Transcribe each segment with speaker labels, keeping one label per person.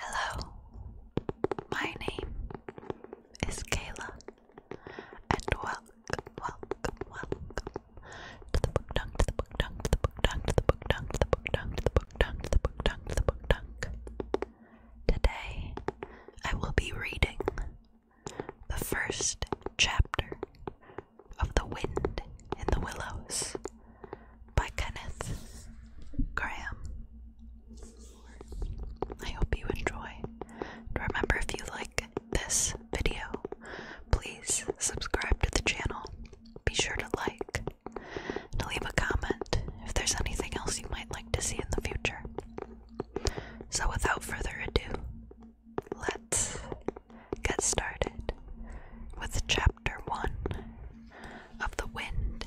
Speaker 1: Hello, my name is Kayla, and welcome, welcome, welcome to the book dunk, to the book dunk, to the book dunk, to the book dunk, to the book dunk, to the book dunk, to the book dunk, to the book dunk. Today, I will be reading the first chapter of The Wind in the Willows by Kenneth Graham. I hope you enjoy. And remember, if you like this video, please subscribe to the channel. Be sure to like and leave a comment if there's anything else you might like to see in the future. So, without further ado, let's get started with chapter 1 of The Wind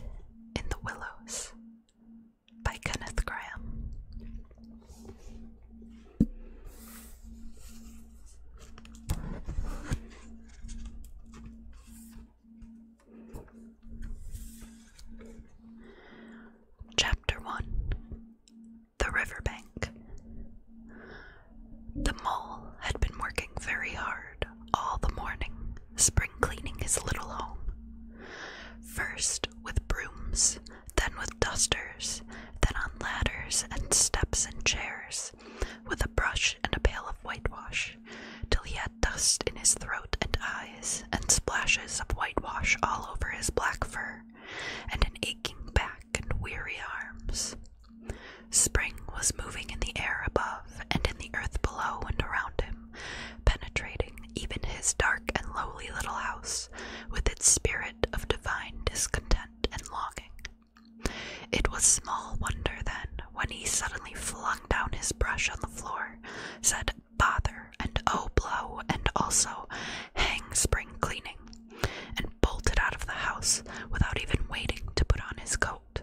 Speaker 1: in the Willows by Kenneth Graham. Chapter 1 The Riverbank the mole had been working very hard all the morning, spring cleaning his little home. First with brooms, then with dusters, then on ladders and steps and chairs, with a brush and a pail of whitewash, till he had dust in his throat and eyes, and splashes of whitewash all over his black fur, and an aching back and weary arms. Spring was moving in the air above and in the earth below and around him, penetrating even his dark and lowly little house with its spirit of divine discontent and longing. It was small wonder then when he suddenly flung down his brush on the floor, said bother and oh blow and also hang spring cleaning, bolted out of the house without even waiting to put on his coat.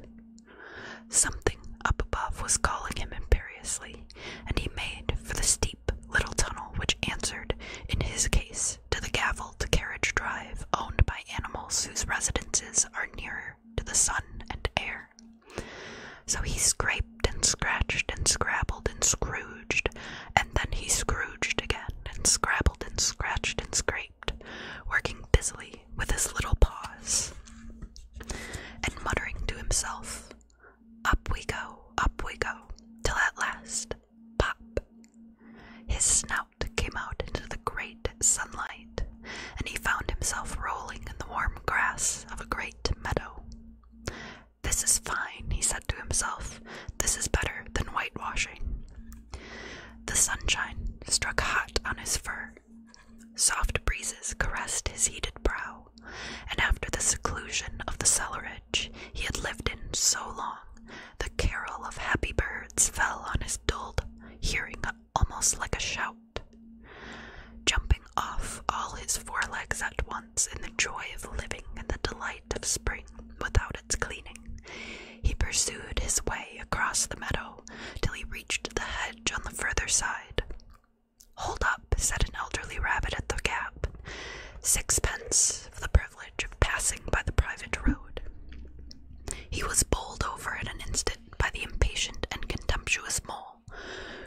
Speaker 1: Something up above was calling him imperiously, and he made for the steep little tunnel which answered, in his case, to the gavelled carriage drive owned by animals whose residences are nearer to the sun and air. So he scraped and scratched and scrabbled and scrooged, and then he scrooged again and scrabbled and scratched and scraped, working busily with his little paws, and muttering to himself, Up we go, up we go, till at last, pop! His snout came out into the great sunlight, and he found himself rolling in the warm grass of a great meadow. This is fine, he said to himself. This is better than whitewashing. The sunshine struck hot on his fur. Soft breezes caressed his heated brow, and after the seclusion of the cellarage he had lived in so long, the carol of happy birds fell on his dulled hearing almost like a shout. Jumping off all his forelegs at once in the joy of living and the delight of spring without its cleaning, he pursued his way across the meadow till he reached the hedge on the further side. Hold up, said an elderly rabbit at the gap. Sixpence for the privilege of passing by the private road. He was bowled over in an instant by the impatient and contemptuous mole,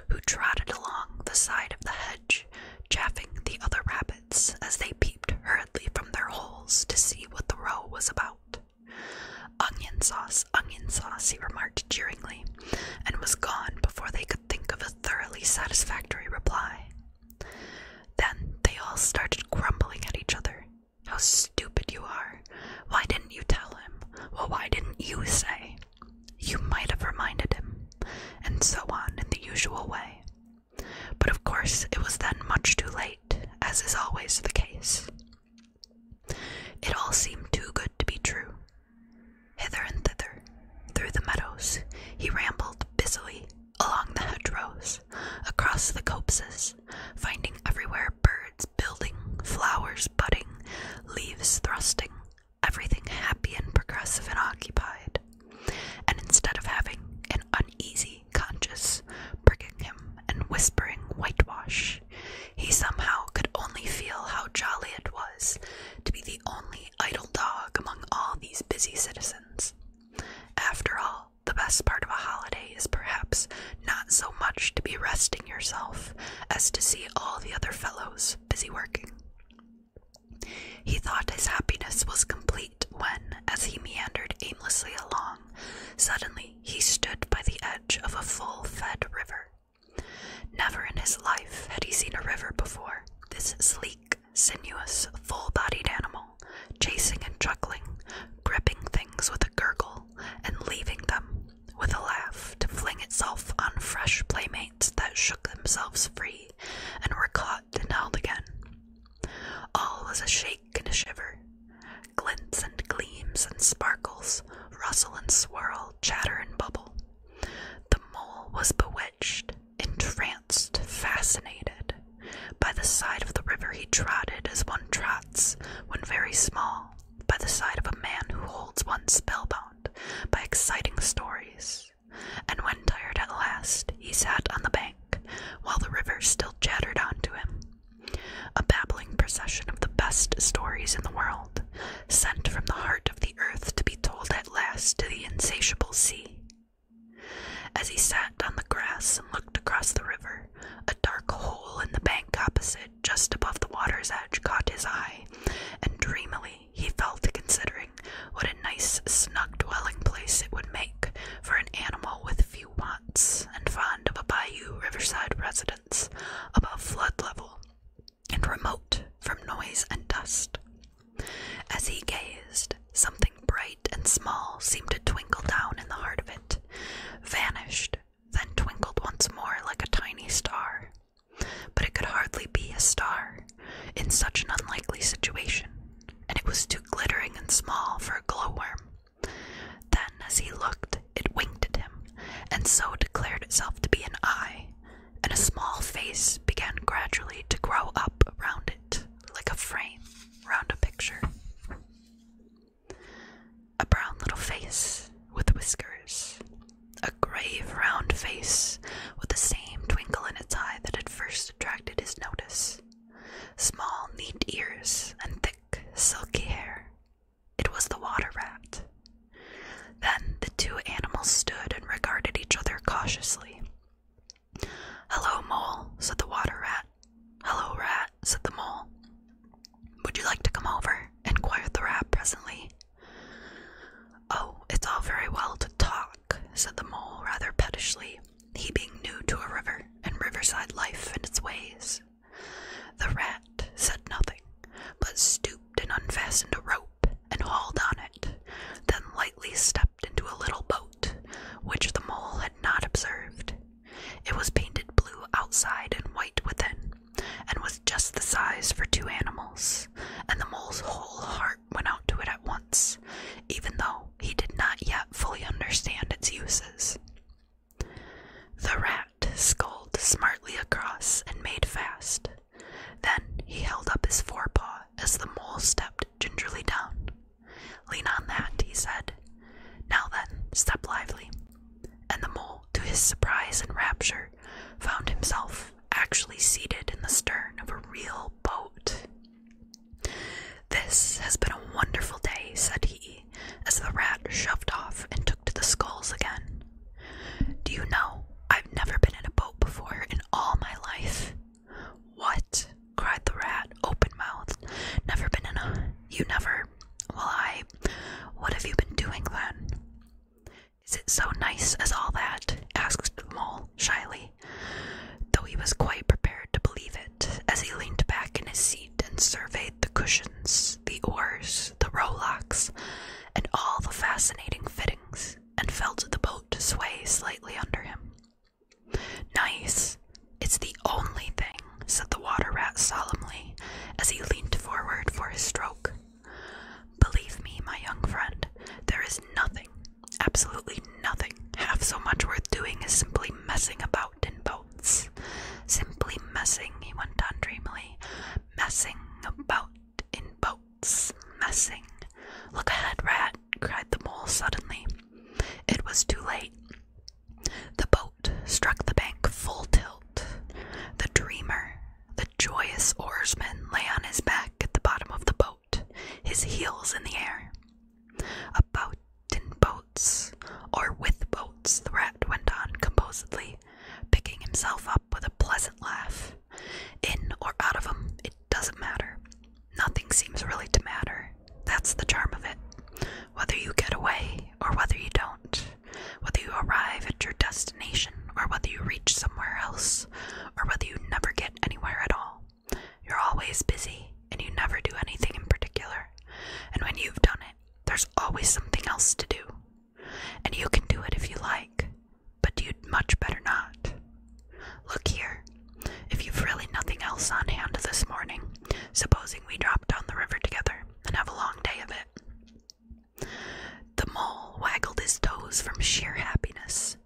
Speaker 1: who trotted along the side of the hedge, chaffing the other rabbits as they peeped hurriedly from their holes to see what the row was about. Onion sauce, onion sauce, he remarked jeeringly, and was gone before they could think of a thoroughly satisfactory reply. Then they all started grumbling at each other. How stupid you are! Why didn't you tell him? Well, why didn't you say? You might have reminded him, and so on in the usual way. But of course, it was then much too late, as is always the case. It all seemed too good to be true. Hither and thither, through the meadows, he rambled busily along the hedgerows, across the copses, finding everywhere birds building, flowers budding, leaves thrusting, everything happy and progressive and occupied. And instead of having an uneasy conscious, pricking him and whispering whitewash. He somehow could only feel how jolly it was to be the only idle dog among all these busy citizens. After all, the best part of a holiday is perhaps not so much to be resting yourself as to see all the other fellows busy working. He thought his happiness was complete when, as he meandered aimlessly along, suddenly he stood by the edge of a full fed river. Never in his life had he seen a river before. This sleek, sinuous, full bodied animal, chasing and chuckling, gripping things with a gurgle, and leaving them, with a laugh, to fling itself on fresh playmates that shook themselves free and were caught hot and held again. All was a shake and a shiver, glints and gleams and sparkles, rustle and swirl, chatter and bubble. The mole was bewitched, entranced, fascinated. By the side of the river he trotted as one trots when very small, by the side of a man who holds one spellbound by exciting stories. And when tired at last, he sat on the bank while the river still chattered on to him. A babbling procession of the best stories in the world, sent from the heart of the earth to be told at last to the insatiable sea. As he sat on the grass and looked across the river, a dark hole in the bank opposite, just above the water's edge, caught his eye, and dreamily he fell to considering what a nice, snug dwelling place it would make for an animal with few wants and fond of a bayou riverside residence above flood level and remote from noise and dust. As he gazed, something bright and small seemed to twinkle down in the heart of it, vanished, then twinkled once more like a tiny star. But it could hardly be a star in such an unlikely situation and it was too glittering and small for a glowworm. Then, as he looked, it winked at him, and so declared itself to be an eye, and a small face began gradually to grow up around it, like a frame round a picture. A brown little face with whiskers, a grave round face with the same twinkle in its eye that had first attracted his notice, Small, neat ears and thick, silky hair. It was the water rat. Then the two animals stood and regarded each other cautiously. Hello, mole, said the water rat. Hello, rat, said the mole. Would you like to come over? inquired the rat presently. Oh, it's all very well to talk, said the mole rather pettishly, he being new to a river and riverside life and its ways. The rat said nothing, but stooped and unfastened a rope and hauled on it, then lightly stepped into a little boat, which the mole had not observed. It was painted blue outside and white within, and was just the size for two animals, and the mole's whole heart went out to it at once, even though he did not yet fully understand its uses. The rat sculled smartly across and made fast. Then he held up his forepaw as the mole stepped gingerly down. Lean on that, he said. Now then, step lively. And the mole, to his surprise and rapture, found himself actually seated in the stern of a real boat. This has been a wonderful day, said he, as the rat shoved off and took to the sculls again. Do you know, I've never been in a boat before in all my life. What? cried the rat, open mouthed. Never been in a. You never. Well, I. What have you been doing then? Is it so nice as all that? asked the mole shyly though he was quite prepared to believe it as he leaned back in his seat and surveyed the cushions, the oars, the rowlocks, and all the fascinating fittings, and felt the boat sway slightly under him. Nice! It's the only thing, said the water rat solemnly as he leaned forward for his stroke. Believe me, my young friend, there is nothing Absolutely nothing half so much worth doing as simply messing about in boats. Simply messing, he went on dreamily. Messing about in boats. Messing. Look ahead, rat, cried the mole suddenly. It was too late. The boat struck the bank full tilt. The dreamer, the joyous oarsman, lay on his back at the bottom of the boat his heels in the air. About in boats, or with boats, the rat went on composedly, picking himself up with a pleasant laugh. In or out of 'em, it doesn't matter. Nothing seems really to matter. That's the charm of it. Whether you get away or whether you don't, whether you arrive at your destination or whether you reach somewhere else, or whether you never get anywhere at all. You're always busy and you never do anything in particular. And when you've done it, there's always something else to do. And you can do it if you like, but you'd much better not. Look here, if you've really nothing else on hand this morning, supposing we drop down the river together and have a long day of it. The mole waggled his toes from sheer happiness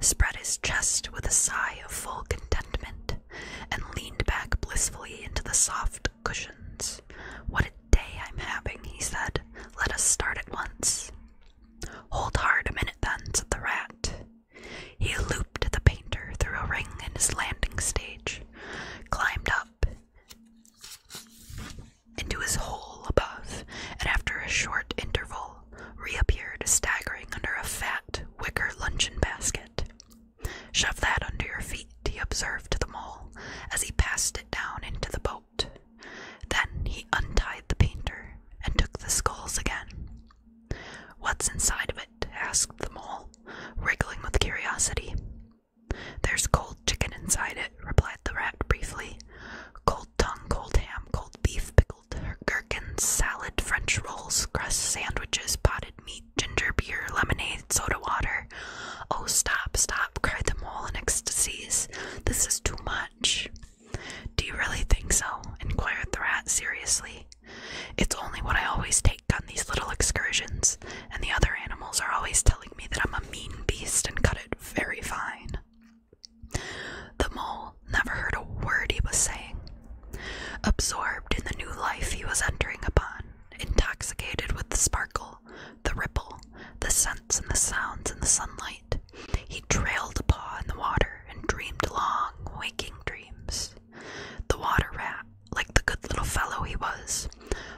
Speaker 1: spread his chest with a sigh of full contentment, and leaned back blissfully into the soft cushions. What a day I'm having, he said. Let us start at once. Hold hard a minute then, said the rat. He looped the painter through a ring in his landing stage, climbed up into his hole above, and after a short interval girl reappeared staggering under a fat wicker luncheon basket. Shove that under your feet, he observed to the mole as he passed it down into the boat. Then he untied the painter and took the skulls again. What's inside of it? asked the mole, wriggling with curiosity. There's cold chicken inside it, replied the rat briefly. Cold tongue, cold ham, cold beef, pickle." grilled gherkin salad, french rolls, crust sandwiches, potted meat, ginger beer, lemonade, soda water. Oh, stop, stop, cried the mole in ecstasies. This is too much. Do you really think so? inquired the rat seriously. It's only what I always take on these little excursions, and the other animals are always telling me that I'm a mean beast and cut it very fine. The mole never heard a word he was saying. Absorbed in the new life he was entering upon, intoxicated with the sparkle, the ripple, the scents and the sounds in the sunlight, he trailed a paw in the water and dreamed long, waking dreams. The water rat, like the good little fellow he was,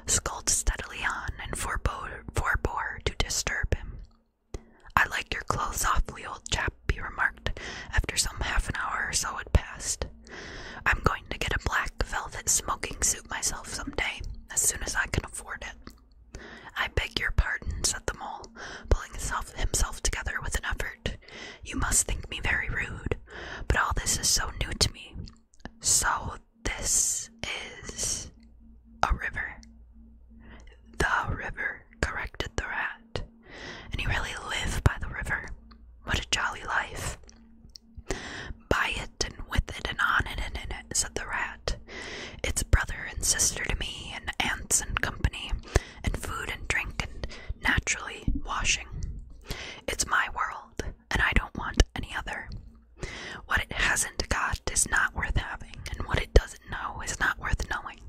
Speaker 1: sculled steadily on and forbore to disturb him. I like your clothes awfully, old chap, he remarked after some half an hour or so had passed. I'm going to get a black velvet smoking suit myself some day, as soon as I can afford it. I beg your pardon, said the mole, pulling himself, himself together with an effort. You must think me very rude, but all this is so new to me. So this is a river. The river, corrected the rat. And he really lived by the river. What a jolly life. By it and with it and on it and in it, said the rat. It's brother and sister to me, and aunts and company, and food and drink, and naturally washing. It's my world, and I don't want any other. What it hasn't got is not worth having, and what it doesn't no, is not worth knowing.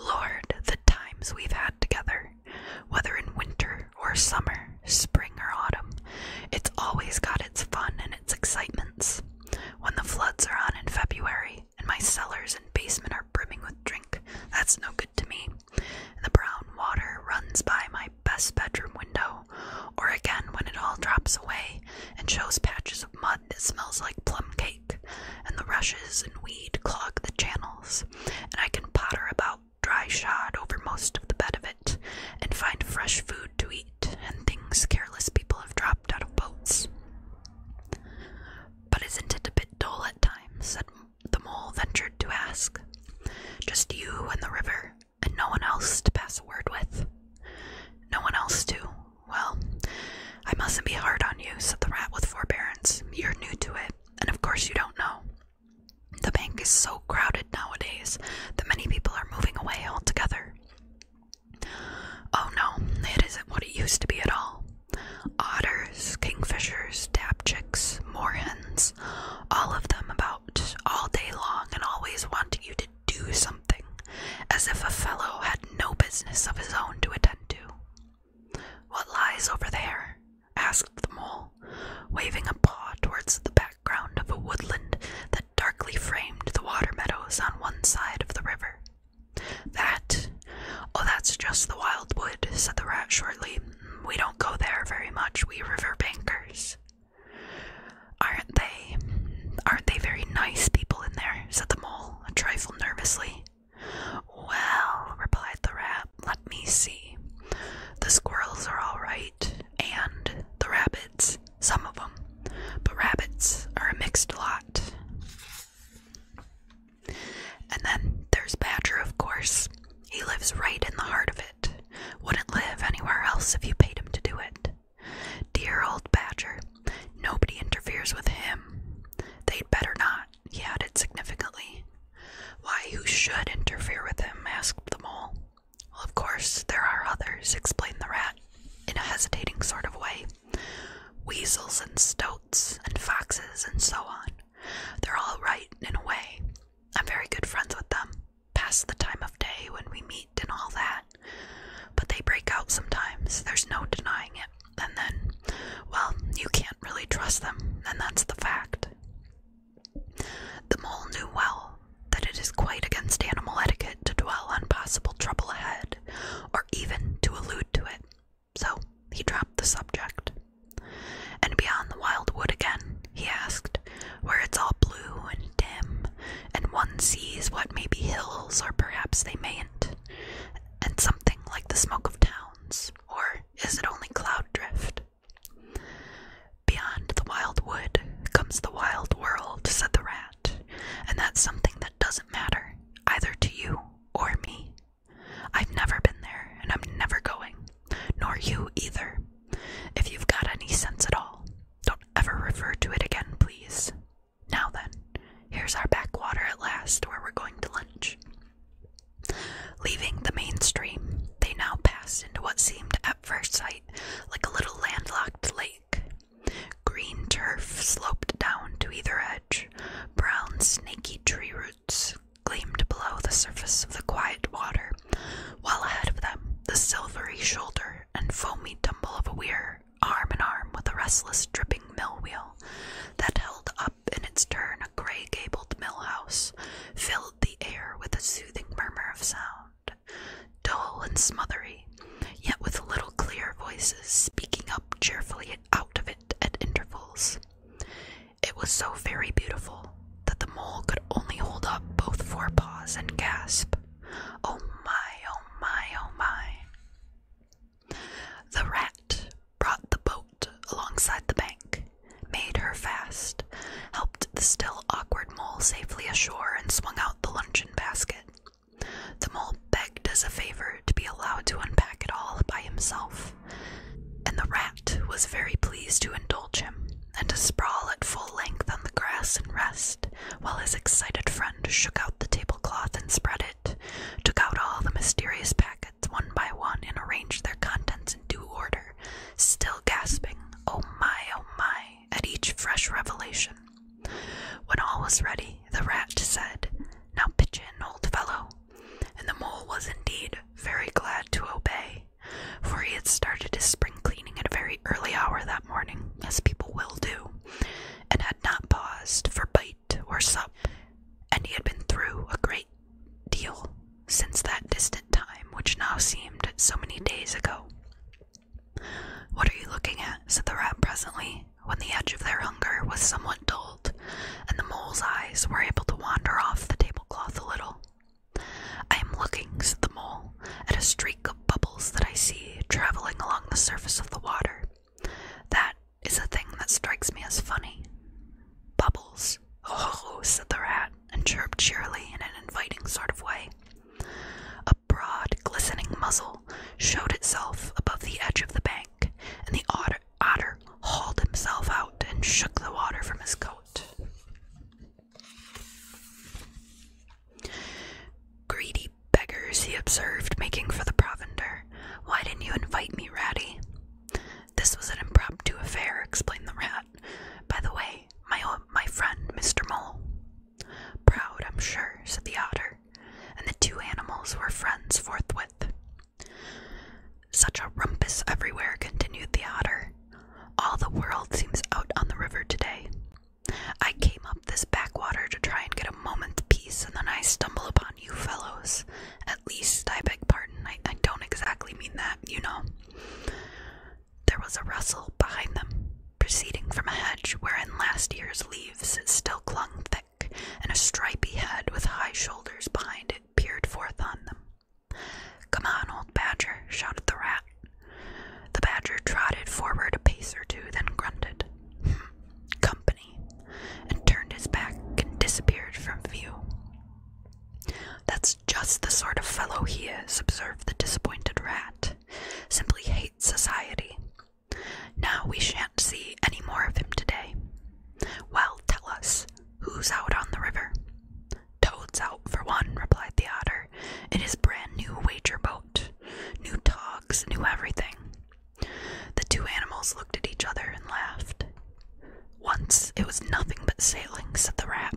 Speaker 1: Lord, the times we've had together, whether in winter or summer, spring or autumn, it's always got its fun and its excitements. When the floods are on in February, and my cellars and basement are brimming with drink, that's no good to me. And the brown water runs by my best bedroom window, or again when it all drops away and shows patches of mud it smells like plum cake, and the rushes and weed clog the channels, and I can potter about dry shod over most of the bed of it, and find fresh food to eat, and things careless people have dropped out of boats. But isn't it a bit dull at times? said the mole ventured to ask. Just you and the river, and no one else to pass a word with. No one else to, well, I mustn't be hard on you, said the rat with forbearance. You're new to it, and of course you don't know. The bank is so crowded nowadays that many people are moving away altogether. Oh no, it isn't what it used to be at all. Otters, kingfishers, dabchicks, moorhens, all of them about all day long and always wanting you to do something, as if a fellow had no business of his own to attend to. What lies over there? asked the mole, waving a paw towards the background of a woodland that darkly framed the water meadows on one side of the river. That? Oh, that's just the wild wood," said the rat shortly. We don't go there very much, we river bankers. Aren't they? Aren't they very nice people in there? said the mole, a trifle nervously. Well, replied the rat, let me see. The squirrels are all right, and the rabbits, some of them. But rabbits are a mixed lot. And then there's Badger, of course. He lives right in the heart of it. Wouldn't live anywhere else if you paid him to do it. Dear old Badger. Nobody interferes with him. They'd better not, he added significantly. Why, who should interfere with him? asked the mole. of course, there are others, explained the rat in a hesitating sort of way. Weasels and stoats and foxes and so on. They're all right in a way. I'm very good friends with them. Past the time of day when we meet and all that. But they break out sometimes, there's no denying it. And then, well, you can't really trust them, and that's the fact. The mole knew well that it is quite against animal etiquette to dwell on possible trouble ahead, or even to allude to it, so he dropped the subject. And beyond the wild wood again, he asked, where it's all blue and dim and one sees what may be hills or perhaps they mayn't, and something like the smoke of towns, or is it only cloud drift? Beyond the wild wood comes the wild world, said the rat, and that's something that doesn't matter, either to you or me. I've never been there, and I'm never going, nor you either. If you've got any sense at all, don't ever refer to it again, please. Now then, here's our backwater at last, where we're going to lunch. Leaving the main stream, they now passed into what seemed at first sight like a little landlocked lake. Green turf sloped down to either edge, brown, snaky tree roots gleamed below the surface of the quiet water, while ahead of them the silvery shoulder and foamy tumble of a weir arm in arm with a restless, dripping mill wheel that held up in its turn a gray gabled mill house, filled the air with a soothing murmur of sound, dull and smothery, yet with little clear voices speaking up cheerfully out of it at intervals. It was so very beautiful that the mole could only hold up both forepaws and gasp. Oh my, oh my, oh my. The rat brought the boat alongside the bank, made her fast, helped the still awkward mole safely ashore, and swung out the luncheon basket. The mole begged as a favor to be allowed to unpack it all by himself, and the rat was very pleased to indulge him and to sprawl at full length on the grass and rest while his excited friend shook out the tablecloth and spread it, took out all the mysterious packets one by one and arranged their contents in due order, still gasping, oh my, oh my, at each fresh revelation. When all was ready, the rat said, Now pitch in, old fellow. And the mole was indeed very glad to obey, for he had started his spring cleaning at a very early hour that morning, as people will do and had not paused for bite or sup, and he had been through a great deal since that distant time which now seemed so many days ago. What are you looking at? said the rat presently, when the edge of their hunger was somewhat dulled, and the mole's eyes were able to wander off the tablecloth a little. I am looking, said the mole, at a streak of bubbles that I see traveling along the surface of the water. That is a thing that strikes me as funny. Bubbles, ho oh, ho! said the rat, and chirped cheerily in an inviting sort of way. A broad, glistening muzzle showed itself above the edge of the bank, and the otter, otter hauled himself out and shook the water from his coat. Greedy beggars, he observed, making for the provender. Why didn't you invite me, Ratty? This was an impromptu affair, explained the rat. By the way, my my friend, Mr. Mole. Proud, I'm sure, said the otter, and the two animals were friends forthwith. Such a rumpus everywhere, continued the otter. All the world seems out on the river today. I came up this backwater to try and get a moment's peace, and then I stumble upon you fellows. At least, I beg pardon, I, don't exactly mean that, you know. There was a rustle behind them, proceeding from a hedge wherein last year's leaves still clung thick, and a stripy head with high shoulders behind it peered forth on them. Come on, old badger, shouted the rat. The badger trotted forward a pace or two, then grunted, hmm, company, and turned his back and disappeared from view. That's just the sort of fellow he is, observed the disappointed rat. Simply hates society. Now we shan't see any more of him today. Well, tell us, who's out on the river? Toad's out for one, replied the otter, in his brand new wager boat new dogs, new everything. The two animals looked at each other and laughed. Once it was nothing but sailing, said the rat.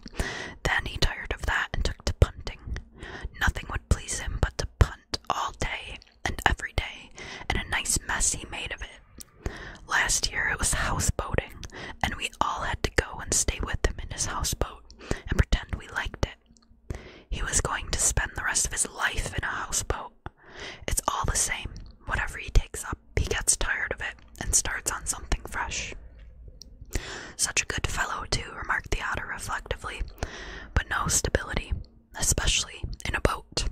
Speaker 1: Then he tired of that and took to punting. Nothing would please him but to punt all day and every day, and a nice mess he made of it. Last year it was houseboating, and we all had to go and stay with him in his houseboat and pretend we liked it. He was going to spend the rest of his life in a houseboat. It's all the same. Whatever he takes up, he gets tired of it and starts on something fresh. Such a good fellow, too, remarked the otter reflectively, but no stability, especially in a boat.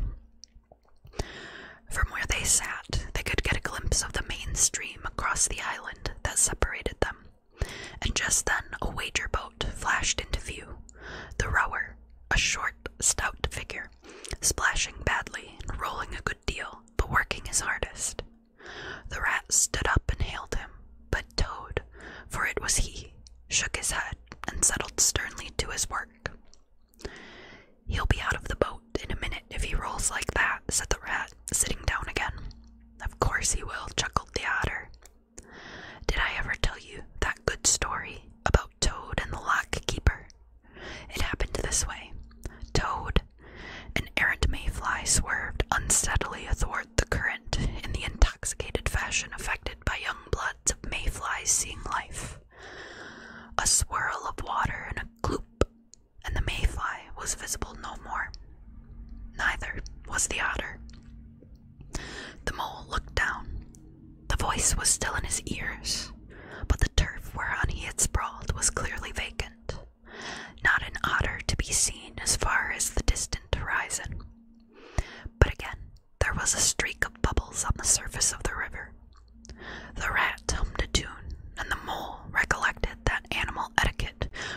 Speaker 1: From where they sat, they could get a glimpse of the main stream across the island that separated them, and just then a wager boat flashed into view. The rower, a short, stout figure, splashing badly and rolling a good deal, but working his hardest. The rat stood up and hailed him, but Toad, for it was he, shook his head and settled sternly to his work. He'll be out of the boat in a minute if he rolls like that, said the rat, sitting down again. Of course he will, chuckled the otter. Did I ever tell you that good story about Toad and the lock keeper? It happened this way Toad, an errant mayfly, swerved unsteadily athwart the current in the intoxicated fashion affected by young bloods of mayflies seeing life. A swirl of water and a gloop and the mayfly was visible no more. Neither was the otter. The mole looked down. The voice was still in his ears, but the turf whereon he had sprawled was clearly vacant. Not an otter to be seen as far as the distant horizon. But again, there was a streak of bubbles on the surface of the river. The rat hummed a tune, and the mole recollected that animal etiquette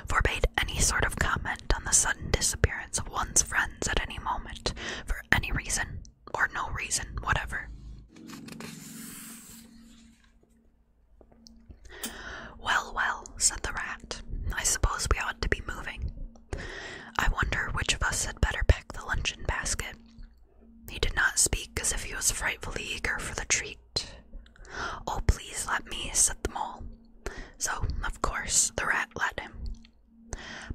Speaker 1: forbade any sort of comment on the sudden disappearance of one's friends at any moment, for any reason or no reason whatever. Well, well, said the rat, I suppose we ought to be moving. I wonder which of us had better pick the luncheon basket. He did not speak as if he was frightfully eager for the treat, Oh, please let me, set the mole. So, of course, the rat let him.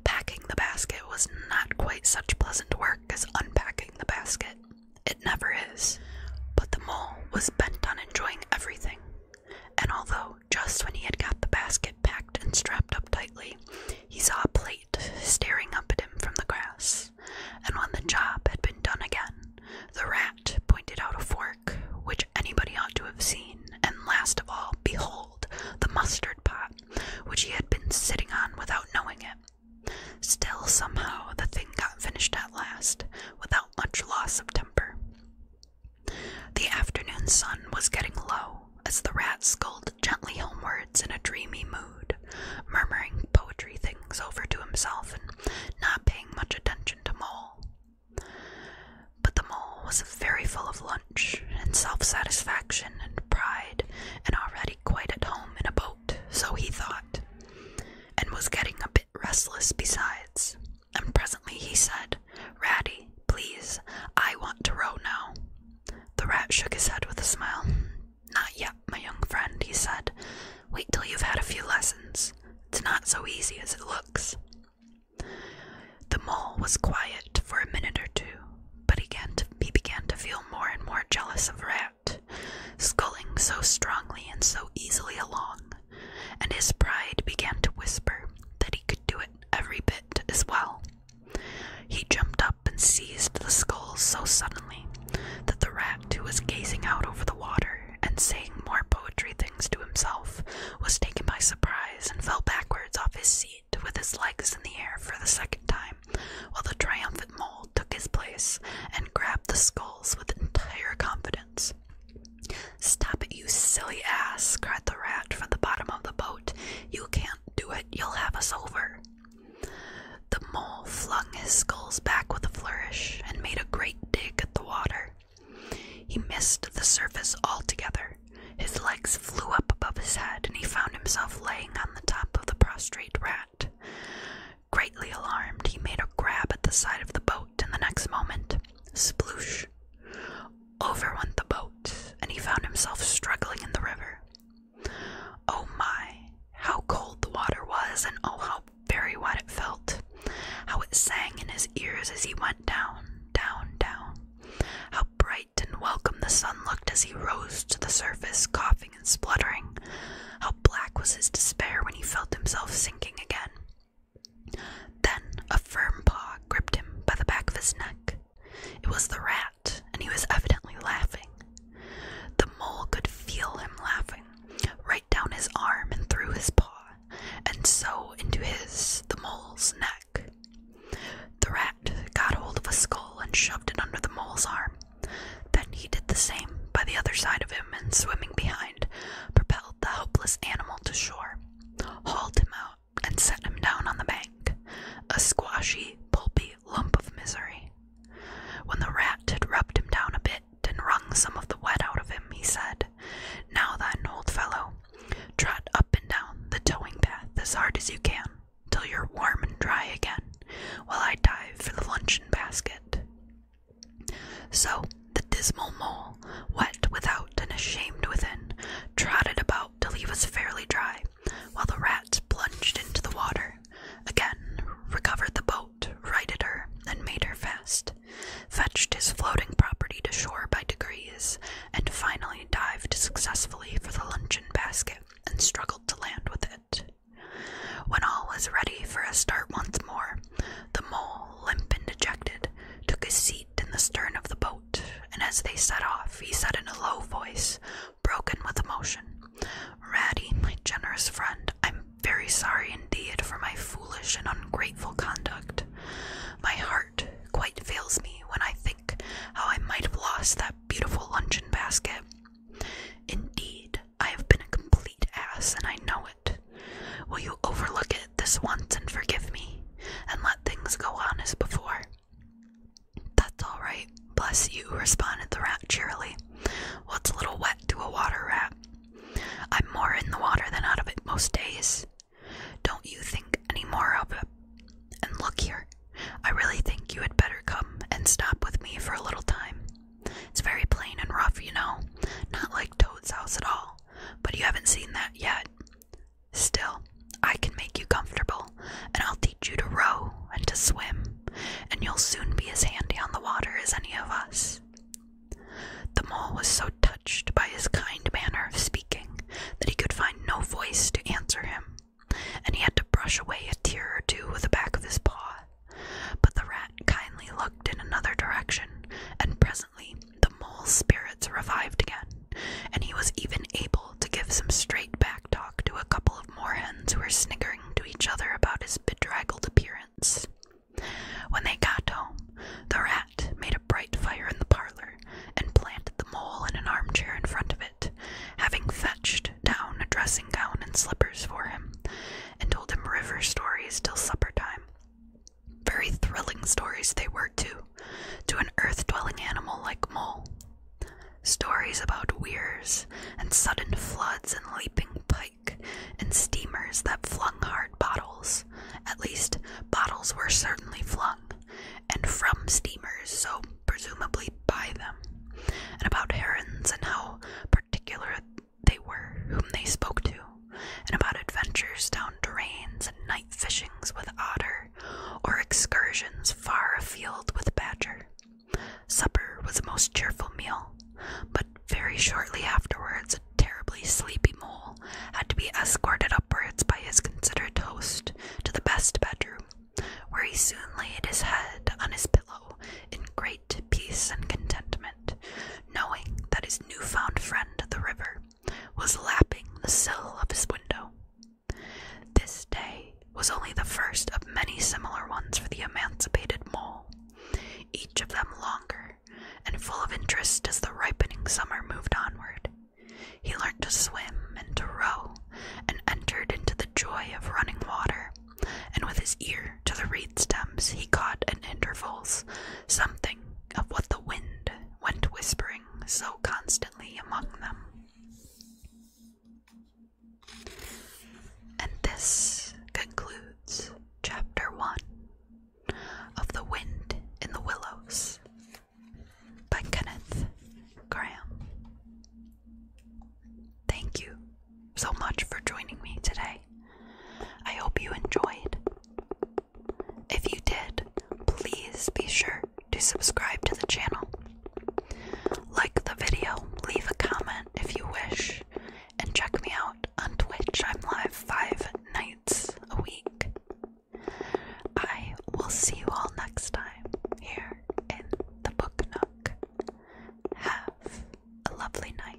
Speaker 1: Packing the basket was not quite such pleasant work as unpacking the basket. It never is. But the mole was bent on enjoying everything. And although, just when he had got the basket packed and strapped up tightly, he saw a plate staring up at him from the grass. And when the job had been done again, the rat pointed out a fork which anybody ought to have seen, and last of all, behold, the mustard pot, which he had been sitting on without knowing it. Still, somehow, the thing got finished at last, without much loss of temper. The afternoon sun was getting low as the rat sculled gently homewards in a dreamy mood, murmuring poetry things over to himself and not paying much attention merchant mole. But the mole was very full of lunch and self satisfaction and pride, and already quite at home in a boat, so he thought, and was getting a bit restless besides. And presently he said, Ratty, please, I want to row now. The rat shook his head with a smile. Not yet, my young friend, he said. Wait till you've had a few lessons. It's not so easy as it looks. The mole was quiet for a minute or two, but he began to feel more and more jealous of Rat, sculling so strongly and so easily along, and his pride began to whisper that he could do it every bit as well. He jumped up and seized the scull so suddenly that the rat who was gazing out over the water and saying more poetry things to himself, was taken by surprise and fell backwards off his seat with his legs in the air for the second time, while the triumphant mole took his place and grabbed the skulls with entire confidence. Stop it, you silly ass, cried the rat from the bottom of the boat. You can't do it, you'll have us over. The mole flung his skulls back with a flourish and made a great dig at the water. He missed the surface altogether. His legs flew up above his head, and he found himself laying on the top of the prostrate rat. Greatly alarmed, he made a grab at the side of the boat, and the next moment, sploosh! Over went the boat, and he found himself struggling in the river. Oh my, how cold the water was, and oh, how very what it felt, how it sang in his ears as he went down, down, down, how bright and welcome the sun looked as he rose to the surface, coughing and spluttering, how black was his despair when he felt himself sinking again. Then a firm paw gripped him by the back of his neck. It was the rat, and he was evidently laughing. The mole could feel him laughing, down his arm and through his paw, and so into his, the mole's neck. The rat got hold of a skull and shoved it under the mole's arm. Then he did the same by the other side of him, and swimming behind, propelled the helpless animal to shore, hauled him out, and set him down on the bank, a squashy, pulpy lump of misery. When the rat had rubbed him down a bit and wrung some of the wet out of him, he said, Now then, old fellow, trot up and down the towing path as hard as you can, till you're warm and dry again, while I dive for the luncheon basket. So the dismal mole, wet without and ashamed within, trotted about till he was fairly dry, while the rat plunged into the water, again recovered the boat righted her, then made her fast, fetched his floating property to shore by degrees, and finally dived successfully for the luncheon basket and struggled to land with it. When all was ready for a start once more, the mole, limp and dejected, took his seat in the stern of the boat, and as they set off, he said in a low voice, broken with emotion, Ratty, my generous friend, I'm very sorry indeed for my foolish and ungrateful conduct. My heart quite fails me when I think how I might have lost that beautiful luncheon basket. Indeed, I have been a complete ass, and I know it. Will you overlook it this once and forgive me, and let things go on as before? That's all right, bless you, responded the rat cheerily. What's a little wet to a water rat? I'm more in the water than out of it most days. Don't you think any more of it? And look here, I really think you had better come and stop with me for a little time. It's very plain and rough, you know, not like Toad's house at all, but you haven't seen that yet. Still, I can make you comfortable, and I'll teach you to row and to swim and you'll soon be as handy on the water as any of us. The mole was so touched by his kind manner of speaking that he could find no voice to answer him, and he had to brush away a tear or two with the back of his paw. But the rat kindly looked in another direction, and presently the mole's spirits revived again, and he was even able to give some straight back talk to a couple of moorhens who were sniggering to each other about his bedraggled appearance. When they got home, the rat made a bright fire in the parlor and planted the mole in an armchair in front of it, having fetched down a dressing gown and slippers for him, and told him river stories till supper time. Very thrilling stories they were, too, to an earth dwelling animal like Mole. Stories about weirs and sudden floods and leaping and steamers that flung hard bottles. At least, bottles were certainly flung, and from steamers, so presumably by them. And about herons and how particular they were, whom they spoke to, and about adventures down drains and night fishings with otter, or excursions far afield with badger. Supper was a most cheerful meal, but very shortly afterwards a terribly sleepy mole had to be escorted upwards by his considerate host to the best bedroom, where he soon laid his head on his pillow in great peace and contentment, knowing that his new found friend, the river, was lapping the sill of his window. This day was only the first of many similar ones for the emancipated mole, each of them longer, and full of interest as the ripening summer moved onward. He learned to swim and to row, and entered into the joy of running water, and with his ear to the reed stems he caught at intervals something of what the wind went whispering so constantly among them. And this concludes Chapter 1 of The Wind in the Willows by Kenneth Graham. Thank you so much for joining me today. I hope you enjoyed. If you did, please be sure to subscribe to the channel. Like the video, leave a comment if you wish, and check me out on Twitch. I'm live five nights a week. I will see you all next time here in the Book Nook. Have a lovely night.